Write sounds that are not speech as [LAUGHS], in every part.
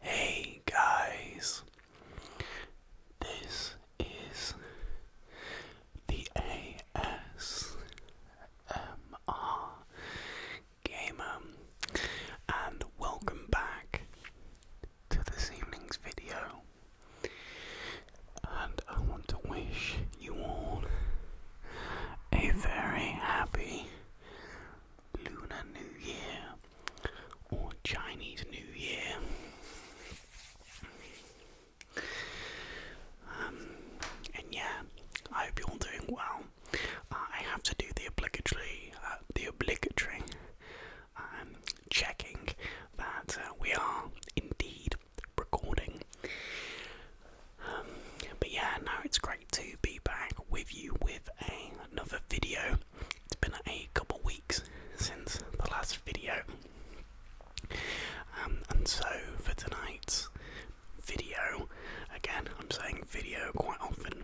Hey guys, this is the ASMR Gamer, and welcome back to this evening's video. And I want to wish you all a very happy Lunar New Year or Chinese New Year. Um, and yeah, I hope you're all doing well. Uh, I have to do the obligatory, uh, the obligatory um, checking that uh, we are indeed recording. Um, but yeah, no, it's great to be back with you with another video. It's been a couple weeks since the last video. Um, and so for tonight's video, again, I'm saying video quite often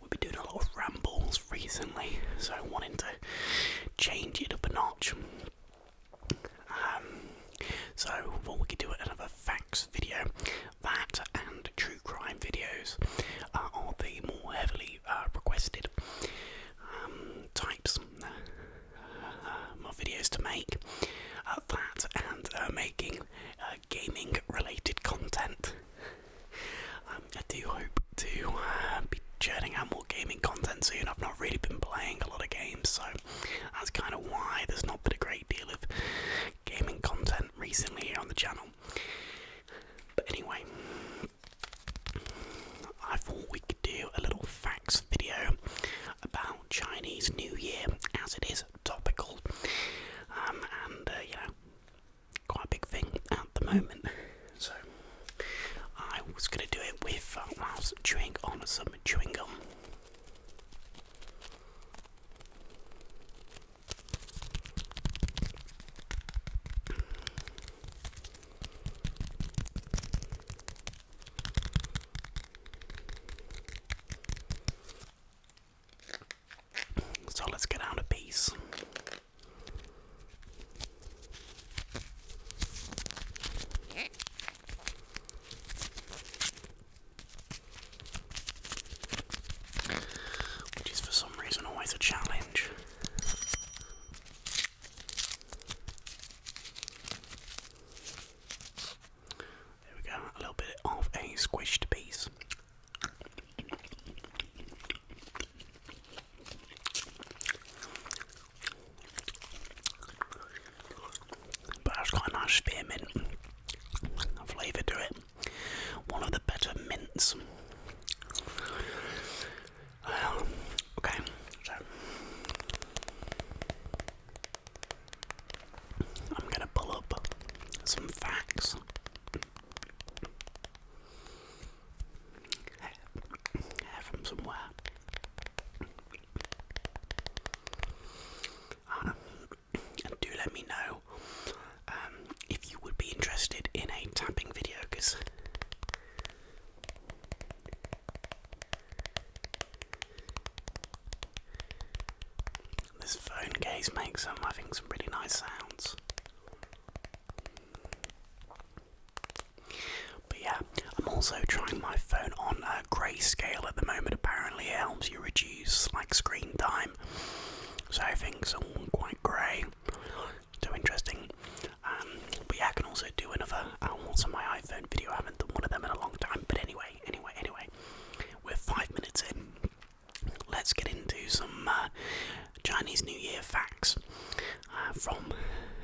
we've been doing a lot of rambles recently, so wanting to change it up a notch. Um, so what we could do another facts video, that and true crime videos are the more heavily uh, requested um, types uh, uh, of videos to make. Uh, that and making gaming related content. Um, I do hope to uh, be churning out more gaming content soon. I've not really been playing a lot of games, so that's kind of why there's not been a great deal of gaming content recently here on the channel. But anyway, I thought we could do a little facts video about Chinese New Year as it is topical um, and uh, quite a big thing at the moment. So I was going to do it with uh, whilst chewing on some chewing gum. So let's get out a piece. Which is for some reason always a challenge. There we go, a little bit of a squished piece. But it's got a nice spearmint flavour to it. One of the better mints. Um, okay, so I'm going to pull up some facts from somewhere. and do let me know um, if you would be interested in a tapping video, because this phone case makes I think, some really nice sounds. But yeah, I'm also trying my phone on uh, grayscale at the moment. Apparently, it helps you reduce like screen time. So things are quite grey. So interesting. Um, but yeah, I can also do another Also, uh, my iPhone video. I haven't done one of them in a long time. But anyway, anyway, anyway, we're five minutes in let's get into some uh, Chinese New Year facts uh, from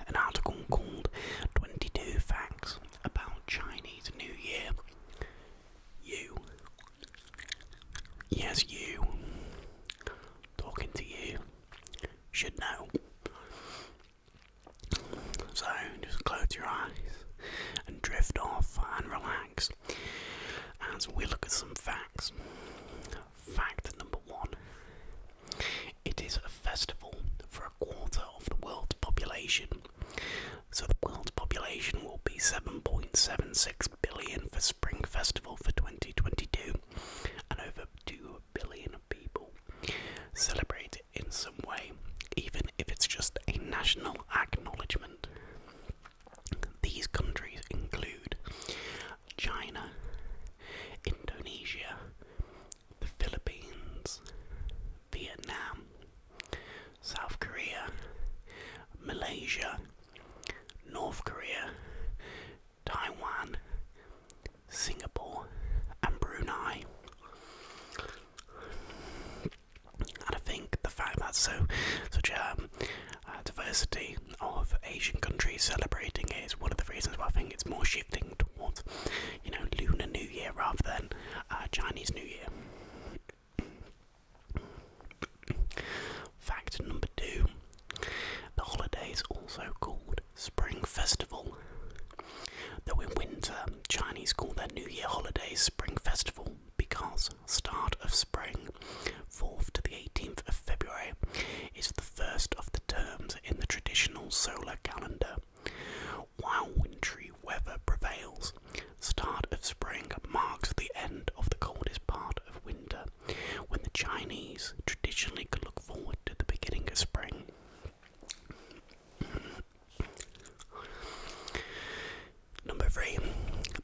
an article called 22 Facts About Chinese New Year. You. Yes, you. Talking to you. Should know. So just close your eyes and drift off and relax as we look at some facts. Fact number one it is a festival for a quarter of the world's population. So, the world's population will be 7.76 billion for Spring Festival for 2022, and over 2 billion people celebrate it in some way, even if it's just a national acknowledgement. These countries include China, Indonesia, the Philippines, Vietnam, South Korea, Malaysia, North Korea, Taiwan, Singapore, and Brunei. And I think the fact that so such um, a diversity of Asian countries celebrating it is one of the reasons why I think it's more shifting towards, you know, Lunar New Year rather than uh, Chinese New Year. Fact number two the holiday is also called Spring Festival. Though in winter, Chinese call their New Year holidays Spring Festival because start of spring, 4th to the 18th of February, is the first of the terms in the traditional solar calendar. While wintry weather prevails, start of spring marks the end of the coldest part of winter, when the Chinese traditionally could look forward to the beginning of spring. Number three,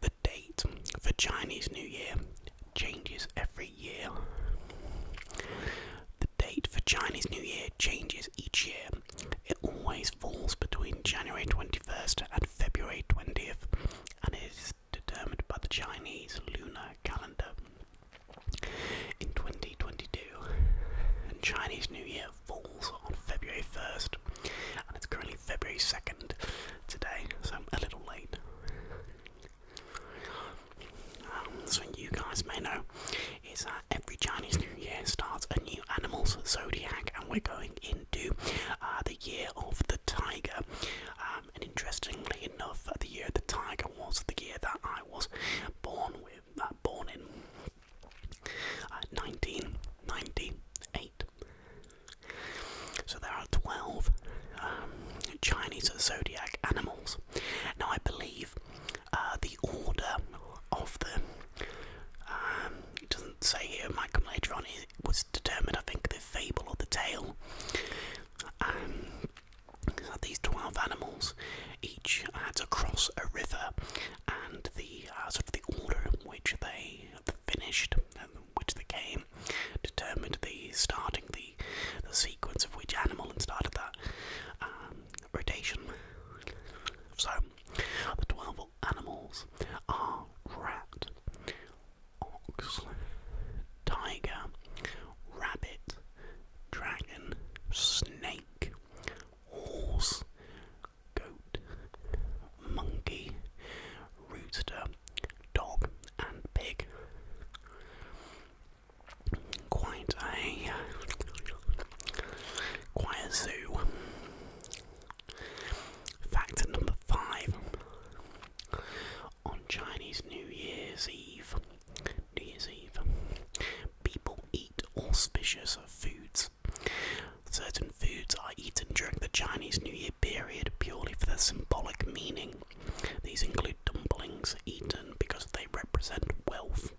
the date for Chinese New Year changes every year. The date for Chinese New Year changes each year. It always falls between January 21st and February 20th and is determined by the Chinese lunar calendar. In 2022, Chinese New Year falls on February 1st, and it's currently February 2nd today, so I'm a little late. Um, so you guys may know is that every Chinese New Year starts a new animal's zodiac, and we're going into uh, the year of the tiger. Um, and interestingly enough, the year of the tiger was the year that I was born with, uh, born in. Uh, 1998. So there are 12 um, Chinese zodiac animals. Now, I believe uh, the order of them, um, it doesn't say here, it might come later on, it was determined, I think, the fable or the tale. Um, these 12 animals each had to cross a river and the uh, sort of the order in which they the finished, which the game determined the starting the the sequence of which animal and started that um, rotation. So the twelve animals are rat, ox, tiger, rabbit, dragon, snake, horse, goat, monkey, rooster, dog, and pig. Quite a quite a zoo. Fact number five. On Chinese New Year's Eve, New Year's Eve, people eat auspicious foods Certain foods are eaten during the Chinese New Year period purely for their symbolic meaning. These include dumplings eaten because they represent wealth.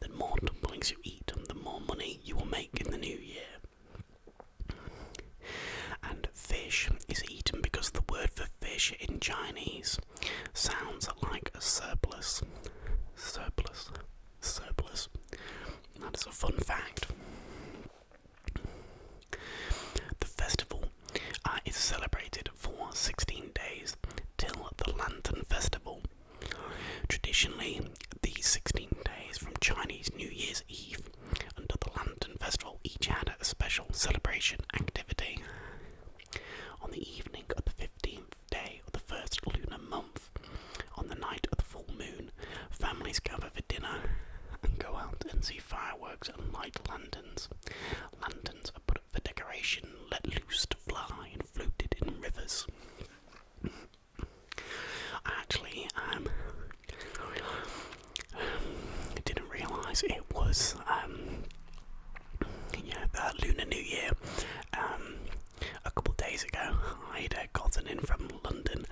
The more dumplings you eat, the more money you will make in the new year. And fish is eaten because the word for fish in Chinese sounds like a surplus. Surplus surplus. That is a fun fact. The festival uh, is celebrated for 16 days till the Lantern Festival. Traditionally, these 16 days from Chinese New Year's Eve until the Lantern Festival each had a special celebration activity. On the evening of the 15th day of the first lunar month, on the night of the full moon, families gather for dinner and go out and see fireworks and light lanterns. Lanterns are put up for decoration, let loose to fly, and floated in rivers. Actually, um, didn't realise it was um, the Lunar New Year. Um, a couple of days ago. [LAUGHS] I'd uh, gotten in from London,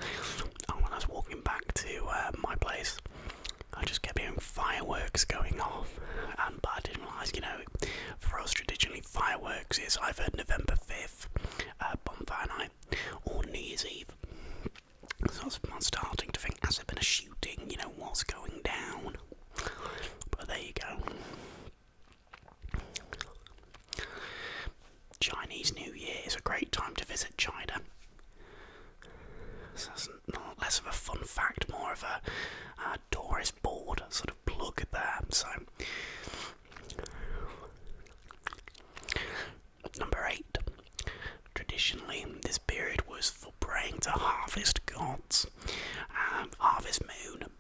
and when I was walking back to uh, my place, I just kept hearing fireworks going off, but I didn't realise, you know, for us traditionally fireworks is either November 5th, uh, bonfire night, or New Year's Eve. So I was starting to think, has there been a shooting? You know, what's going down? But there you go. Chinese New Year is a great time to visit China. So that's not less of a fun fact, more of a tourist board sort of plug there. So, number eight. Traditionally, this period was for praying to harvest gods, um, harvest moon,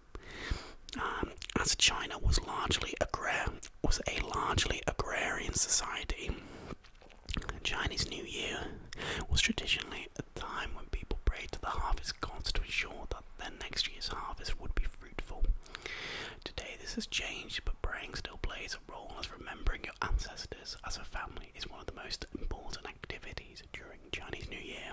um, as China was largely agra was a largely agrarian society, Chinese New Year was traditionally a time when people prayed to the harvest gods to ensure that their next year's harvest would be fruitful. Today, this has changed, but praying still plays a role as remembering your ancestors as a family is one of the most important activities during Chinese New Year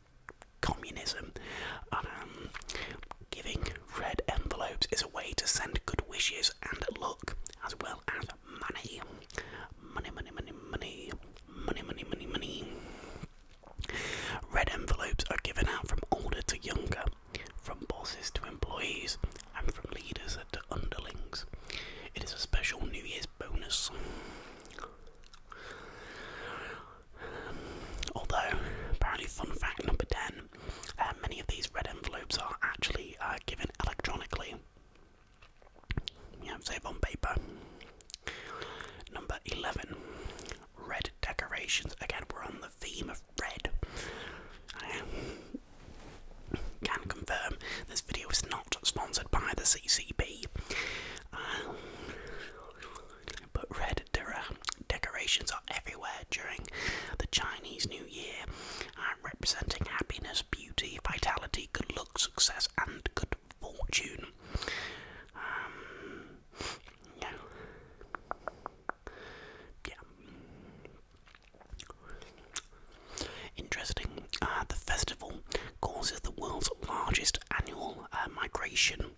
communism. Um, giving red envelopes is a way to send good wishes and luck, as well as money. Money, money, money, money, money, money, money, money. Red envelopes are given out from older to younger, from bosses to employees, and from leaders to underlings. It is a special New Year's bonus. Although, apparently, fun fact number 10 uh, many of these red envelopes are actually uh, given electronically. You Yeah, save on paper. Number 11 red decorations. Again, we're on the theme of red. I um, can confirm this video is not sponsored by the CCP. Uh, but red uh, decorations are everywhere during the Chinese New Year, representing happiness, beauty, vitality, good luck, success, and good fortune. Um, Interesting. Uh, the festival causes the world's largest annual uh, migration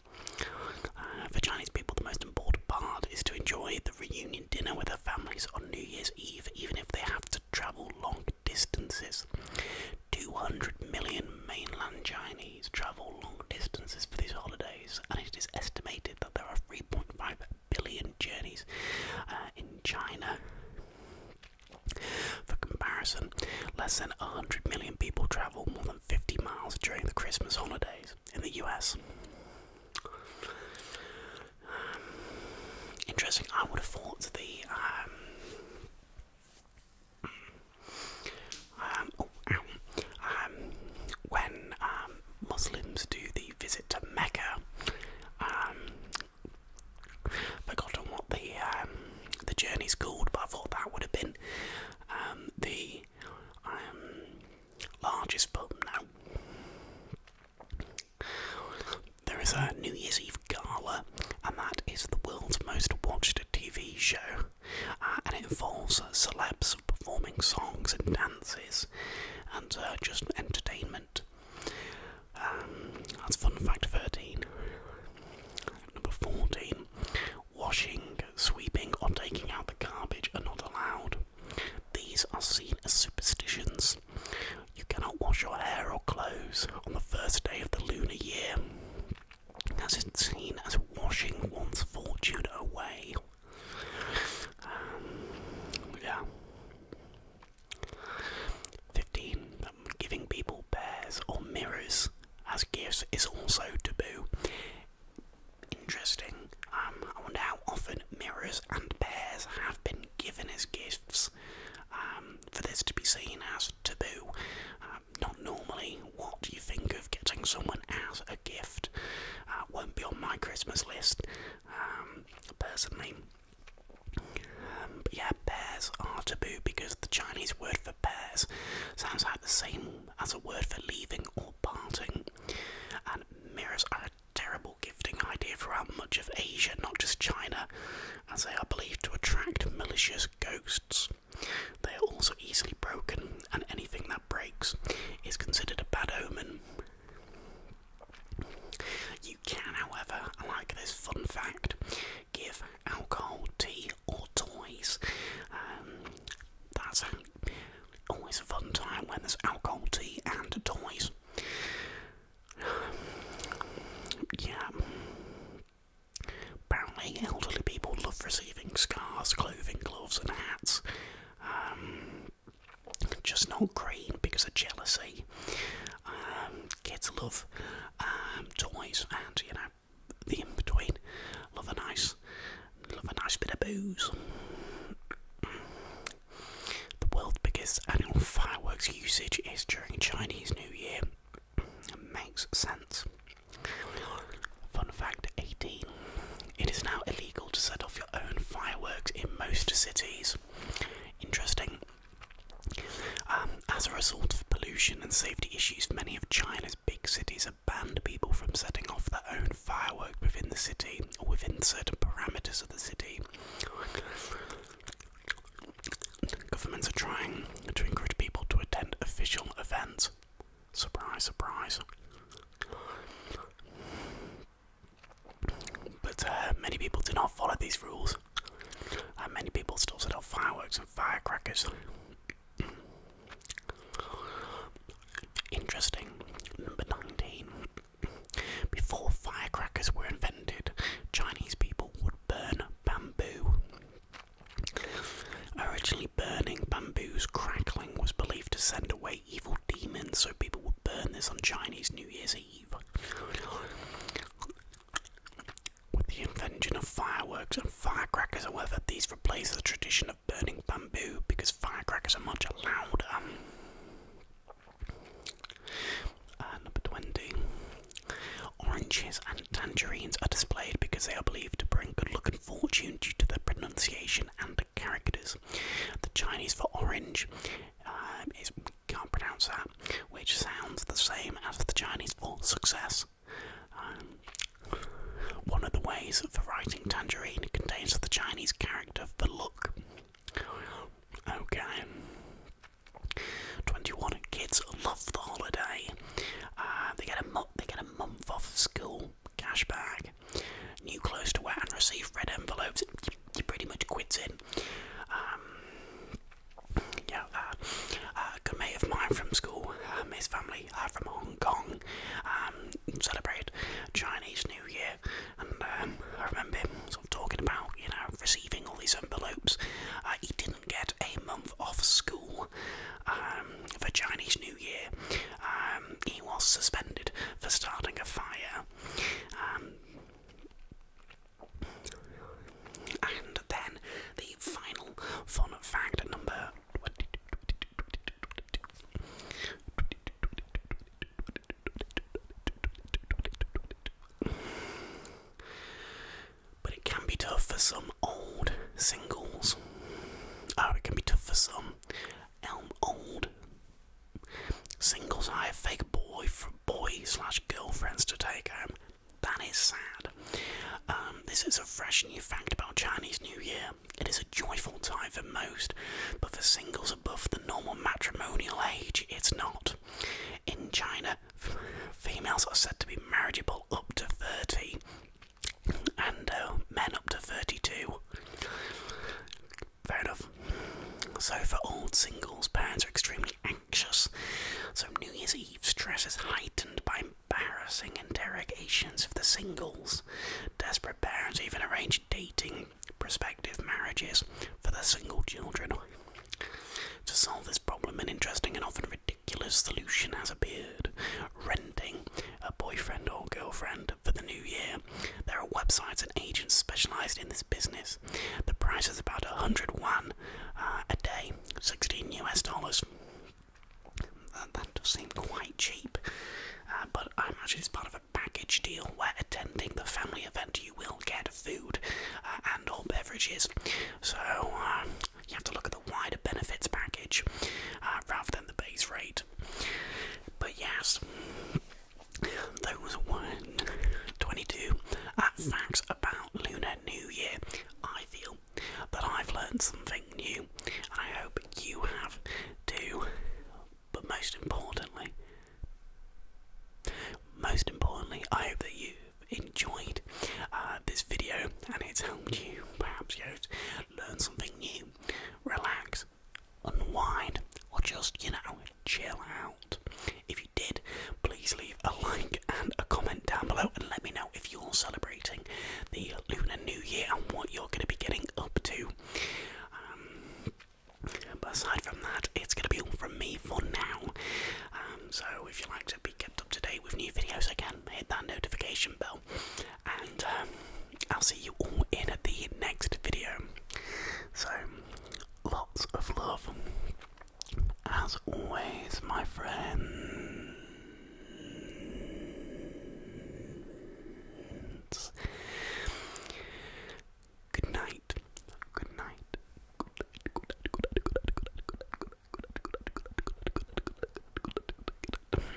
uh, for Chinese people, the most important part is to enjoy the reunion dinner with their families on New Year's Eve, even if they have to travel long distances. 200 million mainland Chinese travel long distances for these holidays, and it is estimated that there are 3.5 billion journeys uh, in China. For comparison, less than 100 million people travel more than 150 miles during the Christmas holidays in the US. Um, interesting, I would have thought the. Um, um, oh, um, when um, Muslims do the visit to Mecca, forgotten what the um, the journey's called, but I thought that would have been um, the um, largest pub now. There is a New Year's Eve gala, and that is the world's most watched TV show, uh, and it involves celebs performing songs and dances and uh, just entertainment. Um, that's fun fact 13. Number 14. Washing, sweeping, or taking out the garbage are not allowed. These are seen as superstitions. You cannot wash your hair or clothes on the first day of the lunar year, as it's seen as washing one's fortune away. Um, yeah. 15 giving people bears or mirrors as gifts is also taboo. Interesting. Um, I wonder how often mirrors and bears have been given as gifts um, for this to be seen as taboo. Um, not normally what do you think of getting someone as a gift. Uh, won't be on my Christmas list personally. Um, yeah, pears are taboo because the Chinese word for pears sounds like the same as a word for leaving or parting. And mirrors are a terrible gifting idea throughout much of Asia, not just China, as they are believed to attract malicious ghosts. They are also easily broken, and anything that breaks is considered a bad omen. You can, however, like this fun fact, give alcohol, tea, or toys. Um, that's always a fun time when there's alcohol, tea, and toys. Yeah. Apparently, elderly people love receiving scarves, clothing, gloves, and hats. Um, just not green because of jealousy. Um, kids love um, toys and you know the in between. Love a nice, love a nice bit of booze. The world's biggest annual fireworks usage is during Chinese New Year. makes sense. Fun fact 18. It is now illegal to set off your own fireworks in most cities. Interesting. Um, as a result of pollution and safety issues, many of China's big cities have banned people from setting off their own fireworks within the city or within certain parameters of the city. Governments are trying to encourage people to attend official events. Surprise, surprise. But uh, many people do not follow these rules, many people still set off fireworks and firecrackers. Interesting. Number 19. Before firecrackers were invented, Chinese people would burn bamboo. Originally, burning bamboo's crackling was believed to send away evil demons, so people would burn this on Chinese New Year's Eve. With the invention of fireworks and firecrackers, however, these replace the tradition of burning bamboo because firecrackers are much louder. Uh, number 20. Oranges and tangerines are displayed because they are believed to bring good luck and fortune due to their pronunciation and the characters. The Chinese for orange um, is can't pronounce that, which sounds the same as the Chinese for success. Um, one of the ways for writing tangerine contains the Chinese character for look. Okay. 21 kids love the holiday. Uh, they get a month. They get a month off school. Cash back. New clothes to wear and receive red envelopes. You, pretty much quit it. Um, you uh, a uh, good mate of mine from school, um, his family are from Hong Kong, um, celebrated Chinese New Year, and um, I remember him sort of talking about, you know, receiving all these envelopes. Uh, he didn't get a month off school um, for Chinese New Year. he was suspended for starting a fire. And then the final fun fact number but it can be tough for some old singles. Oh, it can be tough for some old singles. I have fake boyfriends boy slash girlfriends to take home. That is sad. Um, this is a fresh new fact about Chinese New Year. It is a joyful time for most, but for singles above the normal matrimonial age, it's not. In China, females are said to be marriageable up to 30, and uh, men up to 32. Fair enough. So, for old singles, parents are extremely angry anxious, so New Year's Eve stress is heightened by embarrassing interrogations of the singles. Desperate parents even arrange dating prospective marriages for their single children. To solve this problem, an interesting and often ridiculous solution has appeared renting a boyfriend or girlfriend for the new year. There are websites and agents specialized in this business. The price is about 101 uh, a day, 16 US dollars. Uh, that, does seem quite cheap, uh, but I imagine it's part of a package deal where attending the family event you will get food and or beverages. So you have to look at the wider benefits package rather than the base rate. But yes. Those were 22 at facts about Lunar New Year. I feel that I've learned something new, and I hope you have too. But most importantly, most importantly, I hope that you've enjoyed uh, this video and it's helped you perhaps you know, learn something new, relax, unwind, or just you know chill out. If you did, please leave a like and a comment down below and let me know if you're celebrating the Lunar New Year and what you're going to be getting up to. Um, but aside from that, it's going to be all from me for now. Um, so if you'd like to be kept up to date with new videos, again, hit that notification bell. And um, I'll see you all in the next video. So Lots of love. As always, my friends. Good night. Good night. Good night. Good night. Good night. Good night. Good night. Good night.